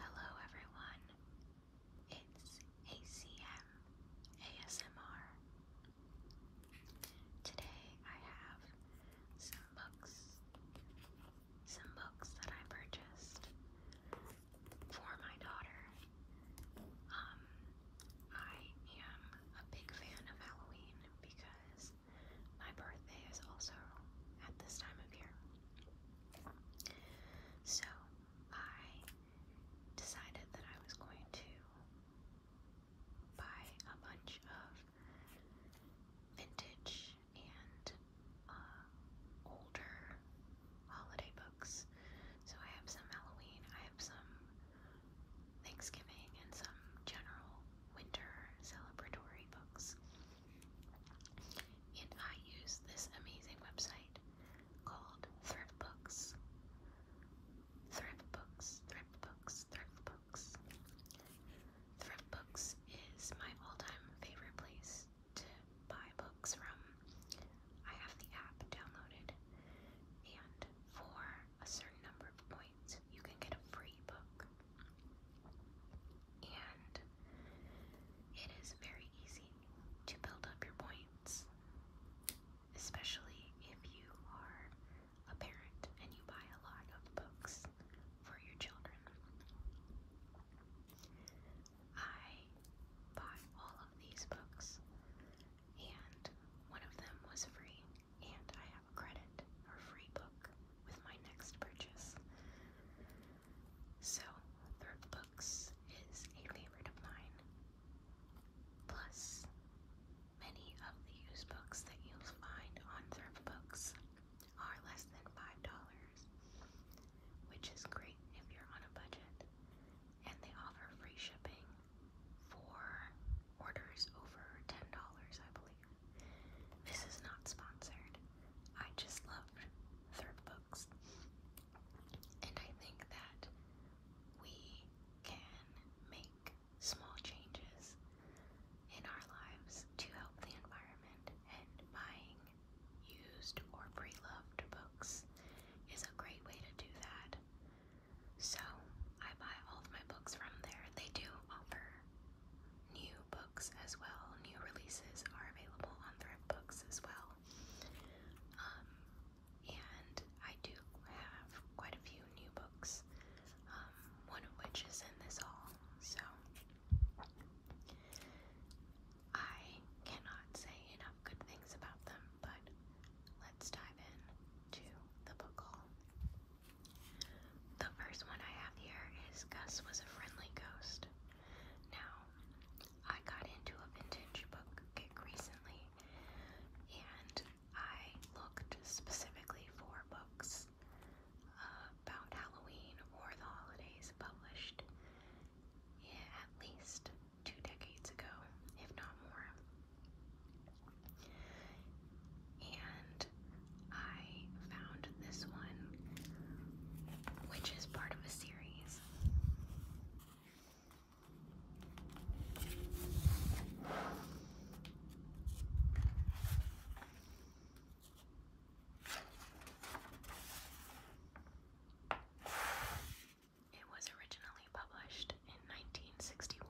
Hello everyone, it's ACM ASMR. Today I have some books, some books that I purchased for my daughter. Um, I am a big fan of Halloween because my birthday is also at this time of year. So I decided that I was going to buy a bunch of vintage and uh, older holiday books. So I have some Halloween, I have some Thanksgiving and some general winter celebratory books. And I use this amazing website called Thrift Books. Thrift Books, Thrift Books, Thrift Books. Thrift Books is my all time favorite place to buy books from. I have the app downloaded, and for a certain number of points, points, you can get a free book. And it is very easy to build up your points, especially if you are a parent and you buy a lot of books for your children. I bought all of these books, and one of them was free and I have a credit or free book with my next purchase. So, Third is a favorite of mine. Plus, many of the used books that you'll find on Thrift are less than $5, which is great if you're on a budget. And they offer free shipping for orders over $10, I believe. This is not sponsored. I just loved third books. And I think that we can make small changes in our lives to help the environment, and buying used or pre loved books is a great way to do that. So I buy all of my books from there. They do offer new books as well. New releases are available on Thrift Books as well. Um, and I do have quite a few new books, um, one of which is in this haul. So I cannot say enough good things about them, but let's dive in to the book haul. The first one I have here is Gus was a friendly ghost. Now, I got into a vintage book recently and I looked specifically for books uh, about Halloween or the holidays published yeah, at least two decades ago, if not more. And I found this one, which is part of a series. It was originally published in 1961.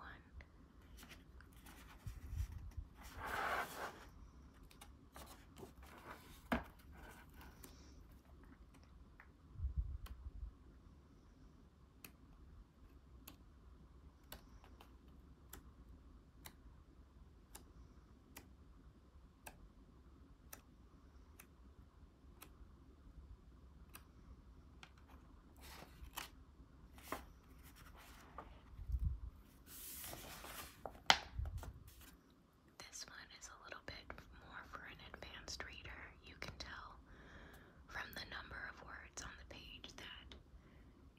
This one is a little bit more for an advanced reader. You can tell from the number of words on the page that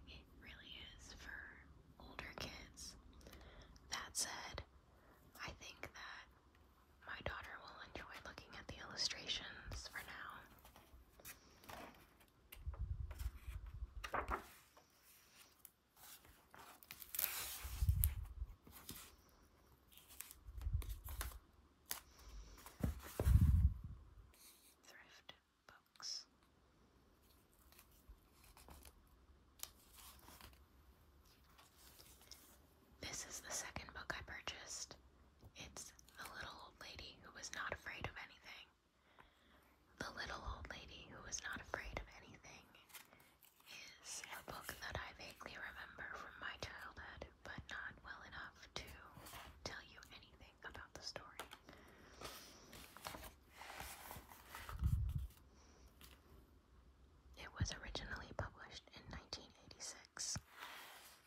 it really is for older kids. That said, I think that my daughter will enjoy looking at the illustrations for now. Thrift books. This is the second book I purchased. It's The Little Old Lady Who Was Not Afraid of Anything. The Little Old Lady Who Was Not Afraid of Anything is a book that I vaguely remember from my childhood, but not well enough to tell you anything about the story. It was originally published in 1986.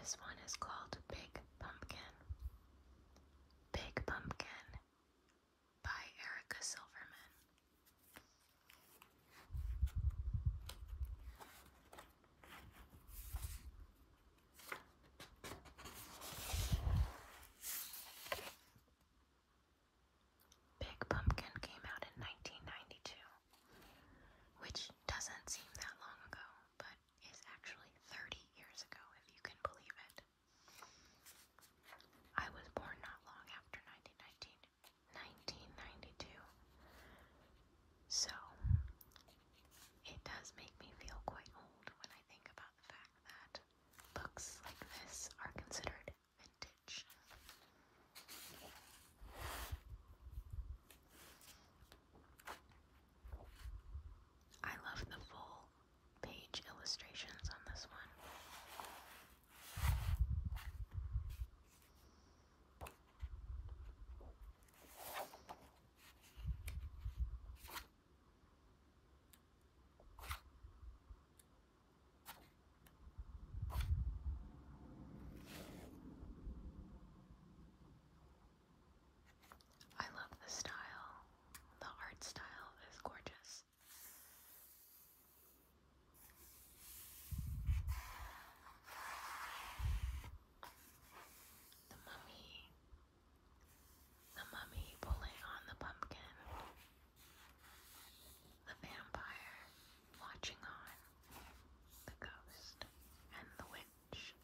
This one is called Big Pumpkin. Big Pumpkin by Erica Silverman. Big Pumpkin came out in 1992, which doesn't seem that long ago, but is actually 30 years ago, if you can believe it. I was born not long after 1919, So, it does make me feel quite old when I think about the fact that books like this are considered vintage. I love the full page illustrations on this one. I love the style. The art style is gorgeous the mummy, the mummy pulling on the pumpkin, the vampire watching on, the ghost, and the witch.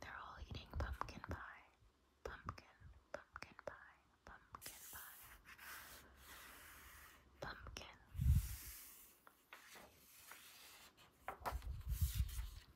They're all eating pumpkin pie. Pumpkin, pumpkin pie, pumpkin pie. Pumpkin.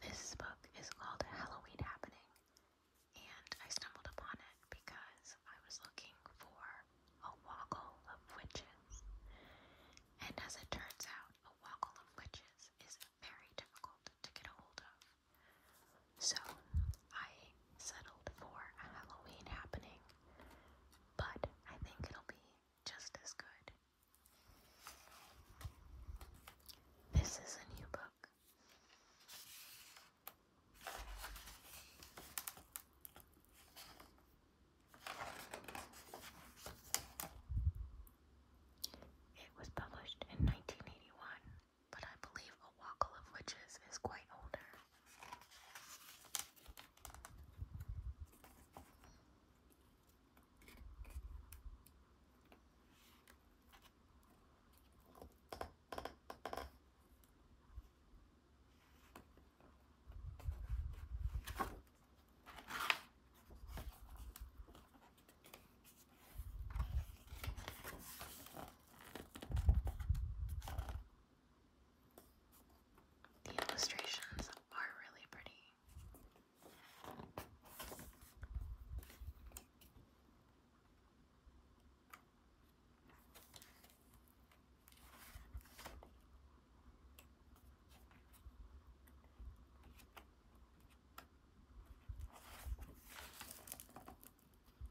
This book is called Halloween Happening, and I stumbled upon it because I was looking for a woggle of witches. And as it turns out, a woggle of witches is very difficult to get a hold of. So I settled for a Halloween happening, but I think it'll be just as good. This is a new book. It was published in 1981 but I believe A Wackle of Witches is quite older. The illustrations are really pretty. A walkle,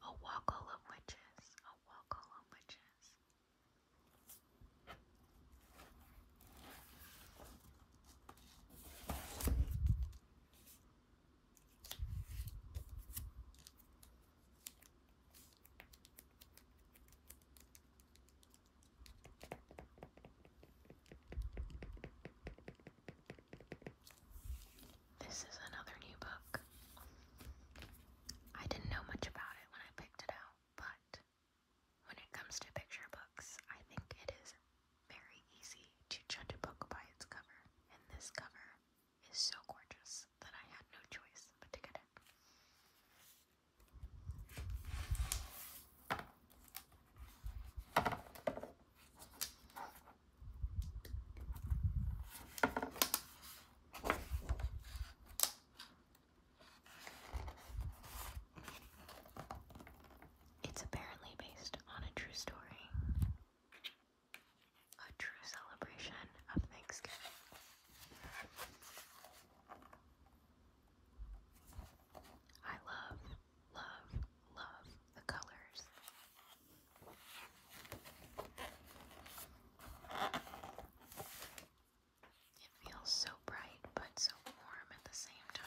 a walkle of witches, a walkle of witches. This is another new book. I didn't know much about it when I picked it out, but when it comes to picture books, I think it is very easy to judge a book by its cover, and this cover is so gorgeous that I had no choice but to get it. It's apparently based on a true story, a true celebration of Thanksgiving. I love, love, love the colors. It feels so bright but so warm at the same time.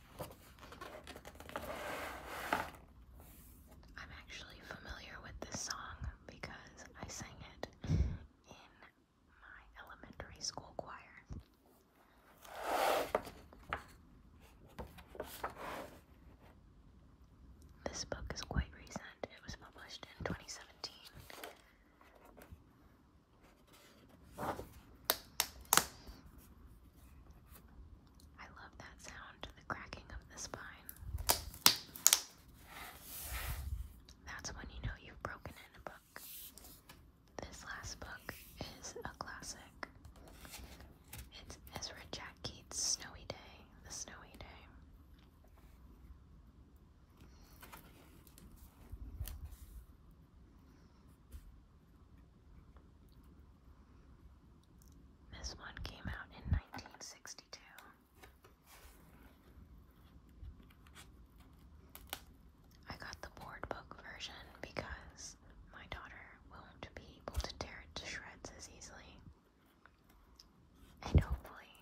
I'm actually familiar with this song because I sang it in my elementary school choir. This book is quite recent. It was published in 2017. I love that sound, the cracking of the spine. That's when you know you've broken in a book. This last book is a classic. It's Ezra Jack Keats' Snowy Day, The Snowy Day. This one came out in 1962. I got the board book version because my daughter won't be able to tear it to shreds as easily. And hopefully,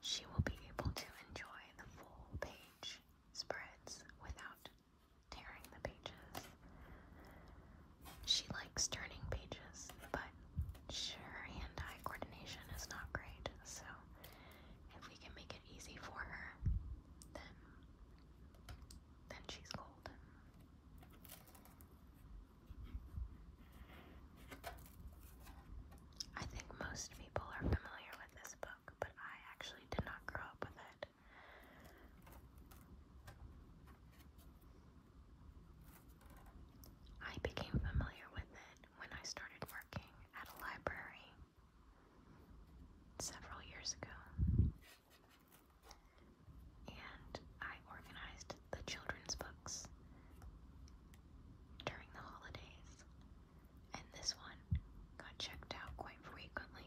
she will be able to enjoy the full page spreads without tearing the pages. She likes turning pages, but her hand eye coordination is not great, so if we can make it easy for her, then then she's golden. I think most people are familiar with this book, but I actually did not grow up with it. I became familiar with it when I started working at a library several years ago. And I organized the children's books during the holidays. And this one got checked out quite frequently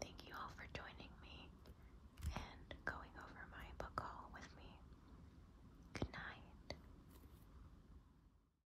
Thank you all for joining me and going over my book haul with me. Good night.